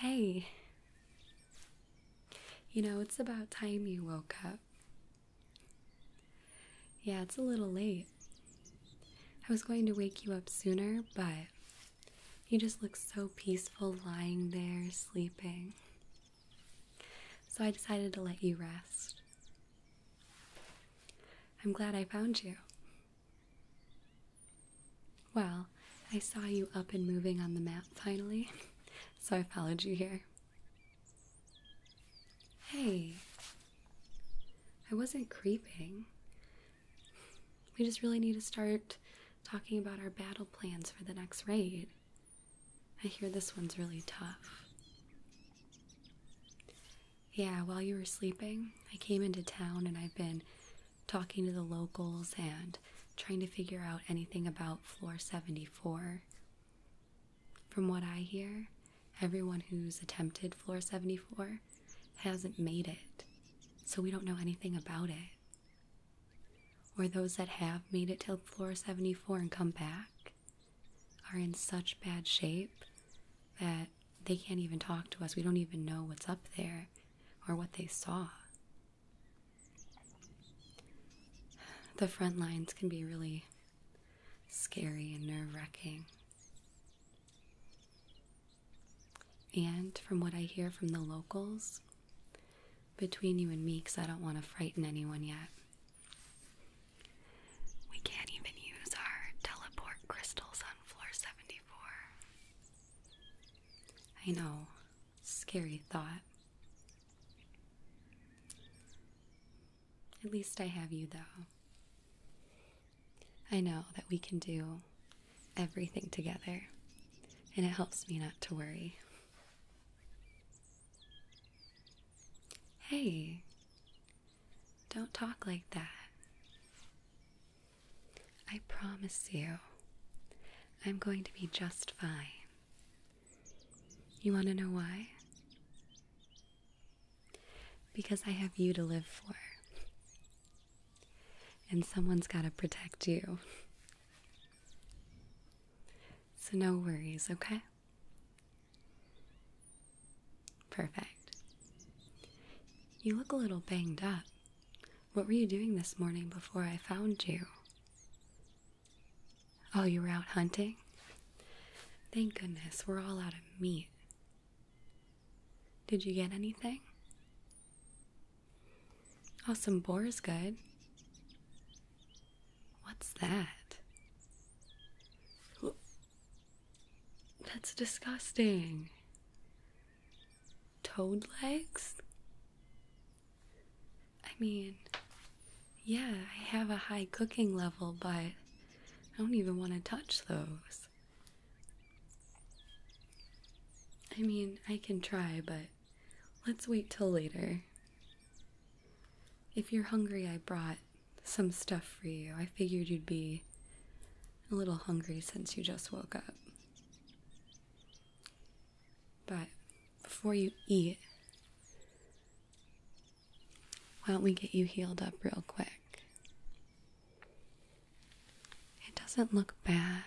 Hey, you know, it's about time you woke up. Yeah, it's a little late. I was going to wake you up sooner, but you just look so peaceful lying there, sleeping. So I decided to let you rest. I'm glad I found you. Well, I saw you up and moving on the map finally, so I followed you here. Hey, I wasn't creeping. We just really need to start talking about our battle plans for the next raid. I hear this one's really tough. Yeah, while you were sleeping, I came into town and I've been talking to the locals and trying to figure out anything about floor 74. From what I hear, everyone who's attempted floor 74 hasn't made it, so we don't know anything about it or those that have made it till floor 74 and come back are in such bad shape that they can't even talk to us. We don't even know what's up there or what they saw. The front lines can be really scary and nerve wracking. And from what I hear from the locals, between you and me because I don't want to frighten anyone yet. We can't even use our teleport crystals on floor 74. I know, scary thought. At least I have you, though. I know that we can do everything together, and it helps me not to worry. Hey, don't talk like that. I promise you, I'm going to be just fine. You want to know why? Because I have you to live for. And someone's got to protect you. So, no worries, okay? Perfect. You look a little banged up. What were you doing this morning before I found you? Oh, you were out hunting? Thank goodness, we're all out of meat. Did you get anything? Oh, some boar's good. What's that? that's disgusting. Toad legs? I mean, yeah, I have a high cooking level, but I don't even want to touch those. I mean, I can try, but Let's wait till later. If you're hungry, I brought some stuff for you. I figured you'd be a little hungry since you just woke up. But before you eat, why don't we get you healed up real quick? It doesn't look bad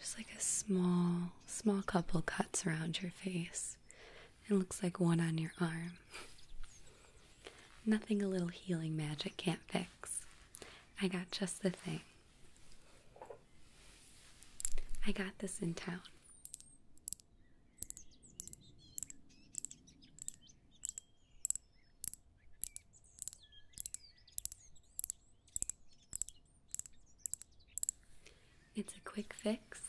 just like a small, small couple cuts around your face. It looks like one on your arm. Nothing a little healing magic can't fix. I got just the thing. I got this in town. It's a quick fix,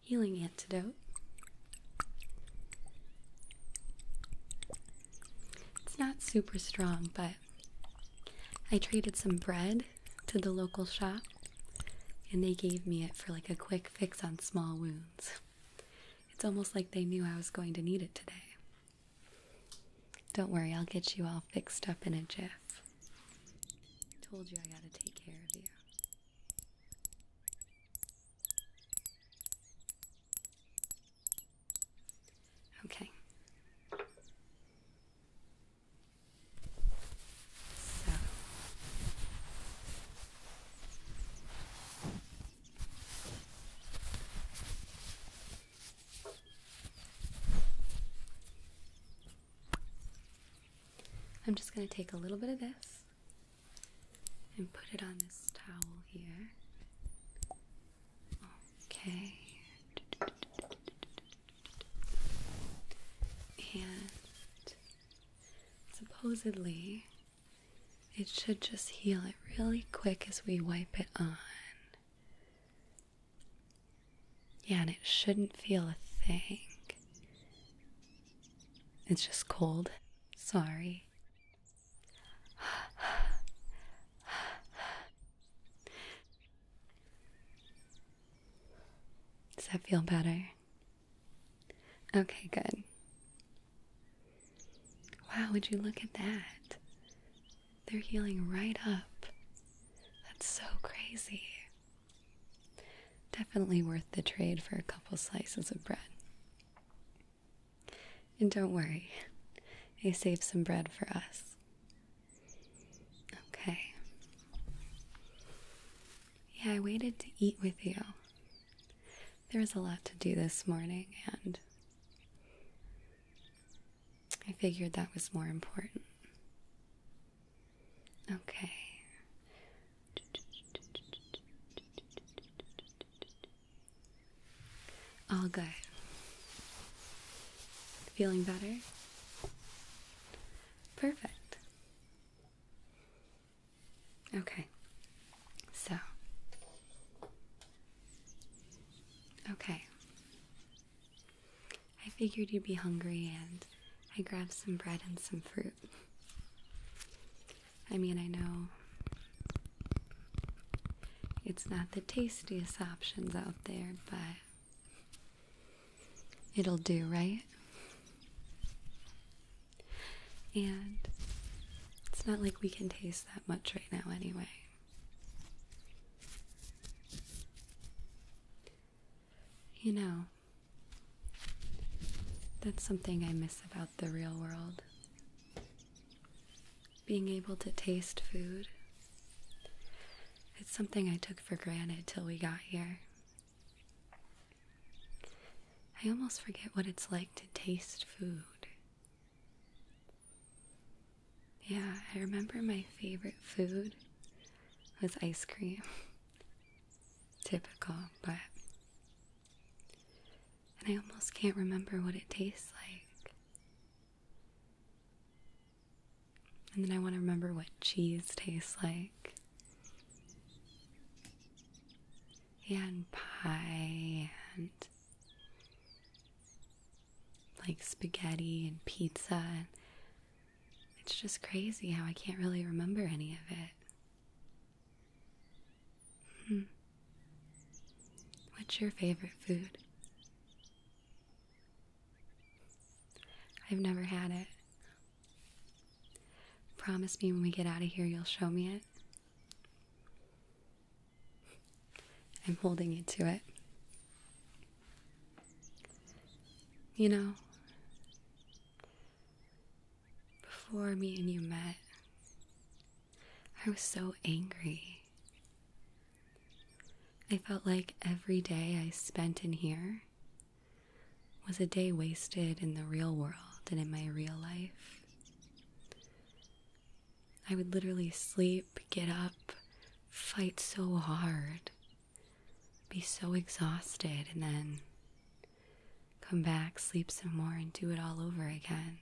healing antidote. It's not super strong, but I traded some bread to the local shop and they gave me it for like a quick fix on small wounds. It's almost like they knew I was going to need it today. Don't worry, I'll get you all fixed up in a jiff. Told you I gotta take care of you. Okay. So. I'm just going to take a little bit of this and put it on this towel here. Okay. And supposedly it should just heal it really quick as we wipe it on. Yeah, and it shouldn't feel a thing. It's just cold. Sorry. Does that feel better? Okay, good. Wow, would you look at that? they're healing right up. That's so crazy. Definitely worth the trade for a couple slices of bread. And don't worry, I saved some bread for us. Okay. Yeah, I waited to eat with you. There was a lot to do this morning, and I figured that was more important. Okay. All good. Feeling better? Perfect. Okay. So. Okay. I figured you'd be hungry, and I grabbed some bread and some fruit. I mean, I know it's not the tastiest options out there, but it'll do, right? And it's not like we can taste that much right now, anyway. You know, that's something I miss about the real world. Being able to taste food. It's something I took for granted till we got here. I almost forget what it's like to taste food. Yeah, I remember my favorite food was ice cream. Typical, but. And I almost can't remember what it tastes like. And then I want to remember what cheese tastes like. Yeah, and pie and like spaghetti and pizza and it's just crazy how I can't really remember any of it. Hmm. What's your favorite food? I've never had it. Promise me when we get out of here you'll show me it. I'm holding you to it. You know, before me and you met, I was so angry. I felt like every day I spent in here was a day wasted in the real world and in my real life. I would literally sleep, get up, fight so hard be so exhausted and then come back, sleep some more, and do it all over again.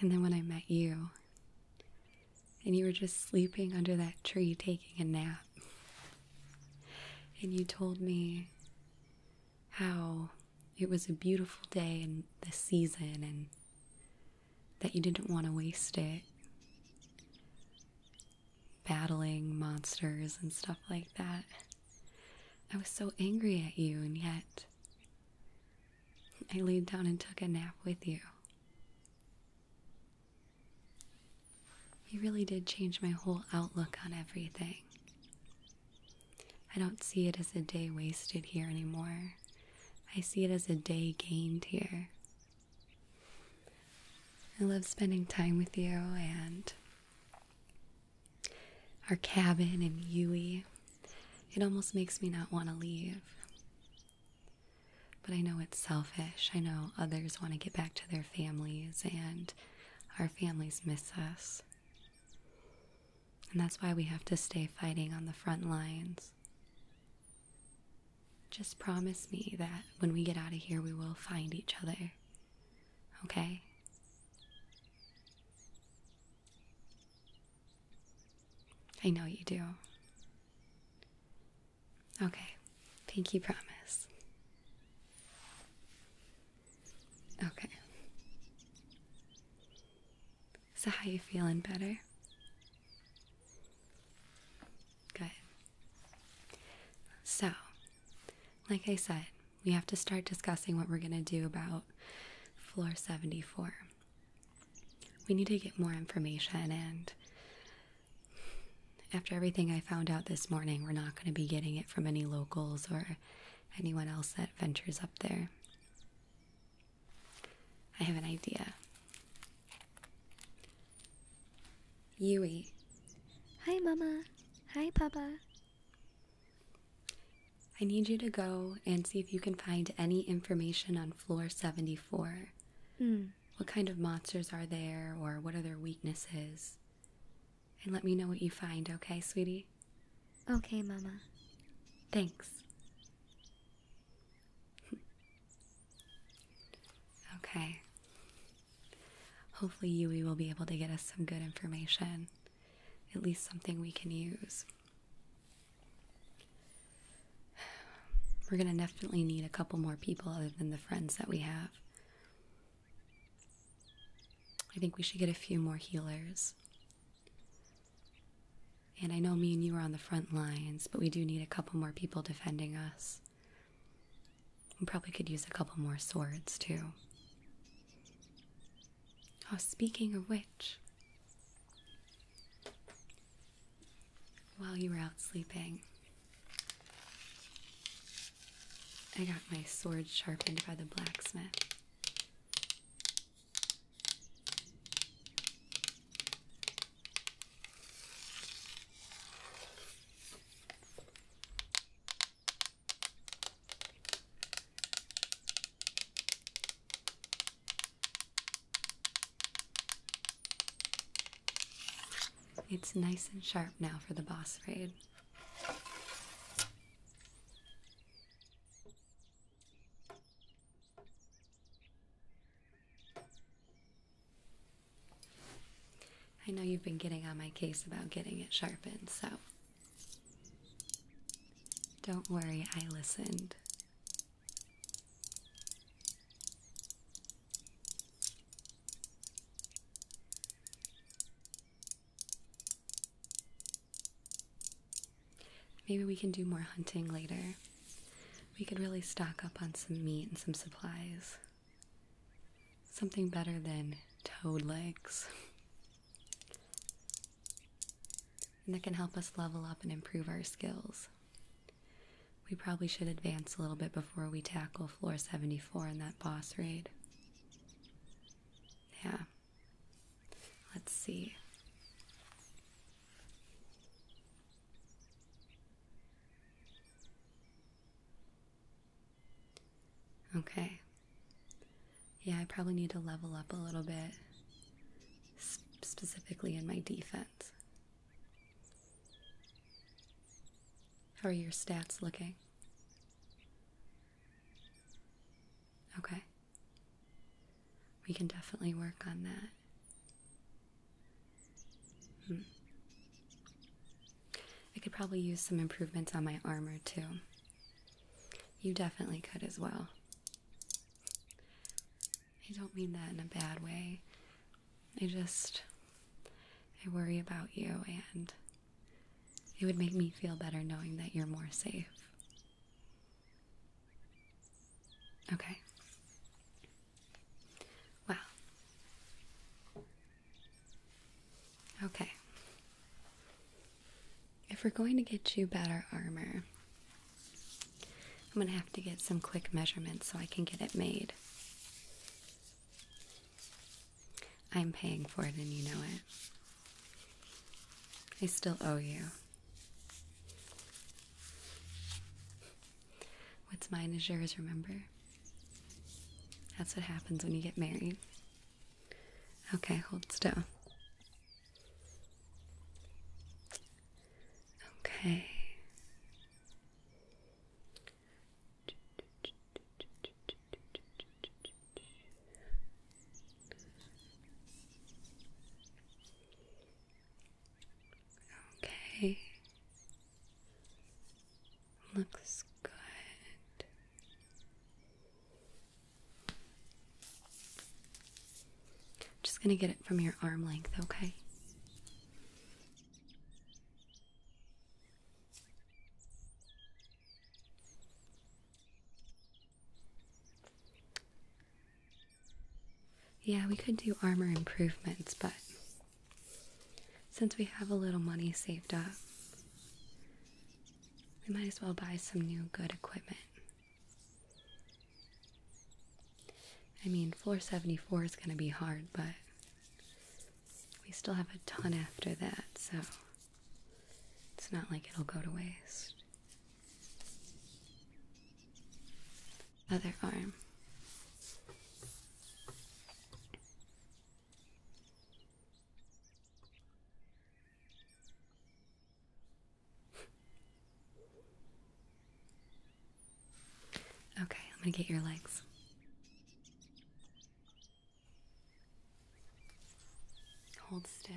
And then when I met you, and you were just sleeping under that tree taking a nap, and you told me how it was a beautiful day and the season and that you didn't want to waste it battling monsters and stuff like that. I was so angry at you, and yet I laid down and took a nap with you. You really did change my whole outlook on everything. I don't see it as a day wasted here anymore. I see it as a day gained here. I love spending time with you and our cabin in Yui. It almost makes me not want to leave. But I know it's selfish. I know others want to get back to their families, and our families miss us. And that's why we have to stay fighting on the front lines. Just promise me that when we get out of here, we will find each other. Okay? I know you do. Okay, pinky promise. Okay. So how you feeling better? Good. So, like I said, we have to start discussing what we're going to do about floor 74. We need to get more information, and after everything I found out this morning, we're not going to be getting it from any locals or anyone else that ventures up there. I have an idea. Yui. Hi, Mama. Hi, Papa. I need you to go and see if you can find any information on floor 74. Mm. What kind of monsters are there, or what are their weaknesses? And let me know what you find, okay, sweetie? Okay, Mama. Thanks okay. Hopefully, Yui will be able to get us some good information, at least something we can use. We're gonna definitely need a couple more people other than the friends that we have. I think we should get a few more healers. And I know me and you are on the front lines, but we do need a couple more people defending us. We probably could use a couple more swords, too. Oh, speaking of which, while you were out sleeping, I got my sword sharpened by the blacksmith. It's nice and sharp now for the boss raid. I know you've been getting on my case about getting it sharpened, so don't worry, I listened. Maybe we can do more hunting later. We could really stock up on some meat and some supplies. Something better than toad legs. that can help us level up and improve our skills. We probably should advance a little bit before we tackle floor 74 in that boss raid. Yeah. Let's see. Okay. Yeah, I probably need to level up a little bit, specifically in my defense. How are your stats looking? Okay. We can definitely work on that. Hmm. I could probably use some improvements on my armor too. You definitely could as well. I don't mean that in a bad way. I just. I worry about you, and it would make me feel better knowing that you're more safe. Okay. Wow. Okay. If we're going to get you better armor, I'm going to have to get some quick measurements so I can get it made. I'm paying for it and you know it. I still owe you. What's mine is yours, remember? That's what happens when you get married. Okay, hold still. Okay. Okay. Looks good. just going to get it from your arm length, okay? Yeah, we could do armor improvements, but since we have a little money saved up, we might as well buy some new good equipment. I mean, floor 74 is going to be hard, but we still have a ton after that, so it's not like it'll go to waste other arm. Okay, I'm gonna get your legs. Hold still.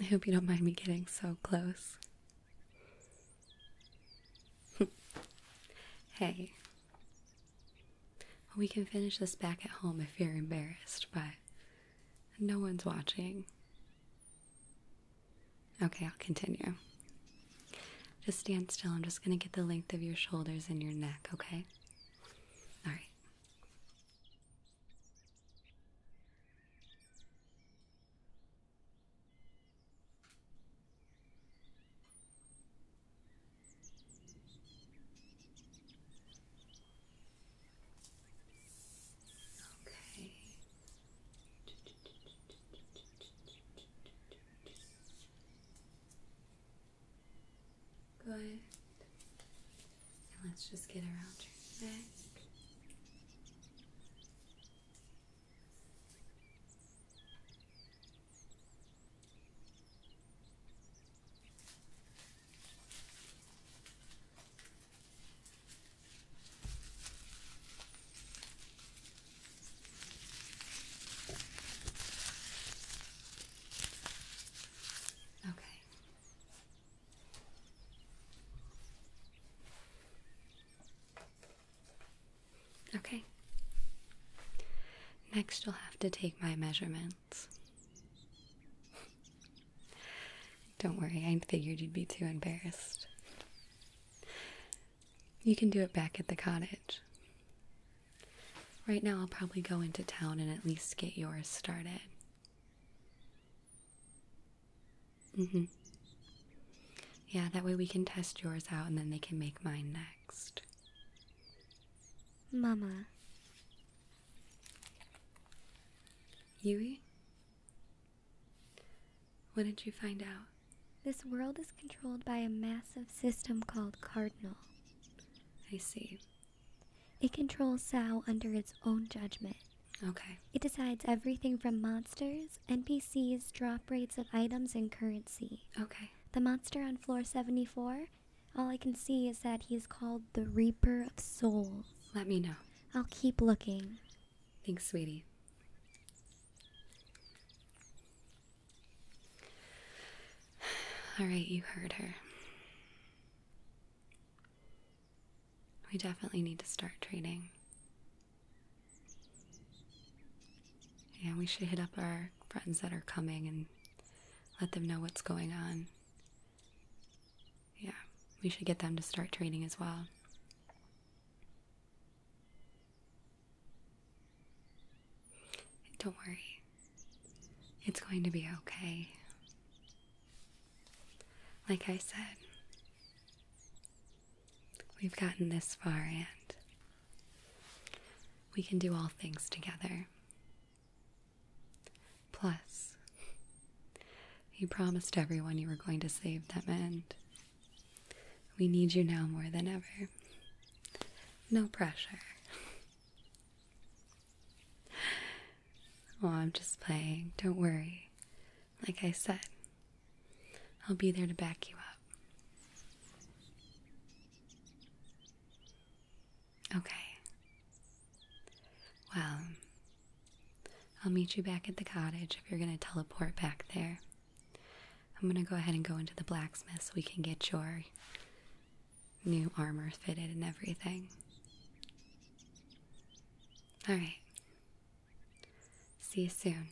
I hope you don't mind me getting so close. hey. we can finish this back at home if you're embarrassed, but no one's watching. Okay, I'll continue. Just stand still. I'm just going to get the length of your shoulders and your neck, okay? All right. Okay. Good. And let's just get around your neck. Okay. Okay. Next, you'll have to take my measurements. Don't worry, I figured you'd be too embarrassed. You can do it back at the cottage. Right now, I'll probably go into town and at least get yours started. Mm hmm. Yeah, that way we can test yours out and then they can make mine next. Mama. Yui? What did you find out? This world is controlled by a massive system called Cardinal. I see. It controls Sao under its own judgment. Okay. It decides everything from monsters, NPCs, drop rates of items, and currency. Okay. The monster on floor 74, all I can see is that he is called the Reaper of Souls. Let me know. I'll keep looking. Thanks, sweetie. All right, you heard her. We definitely need to start trading. Yeah, we should hit up our friends that are coming and let them know what's going on. Yeah, we should get them to start trading as well. Don't worry, it's going to be okay. Like I said, we've gotten this far and we can do all things together. Plus, you promised everyone you were going to save them, and we need you now more than ever. No pressure. Oh, I'm just playing. Don't worry. Like I said, I'll be there to back you up. Okay. Well, I'll meet you back at the cottage if you're going to teleport back there. I'm gonna go ahead and go into the blacksmith so we can get your new armor fitted and everything. Alright. See you soon.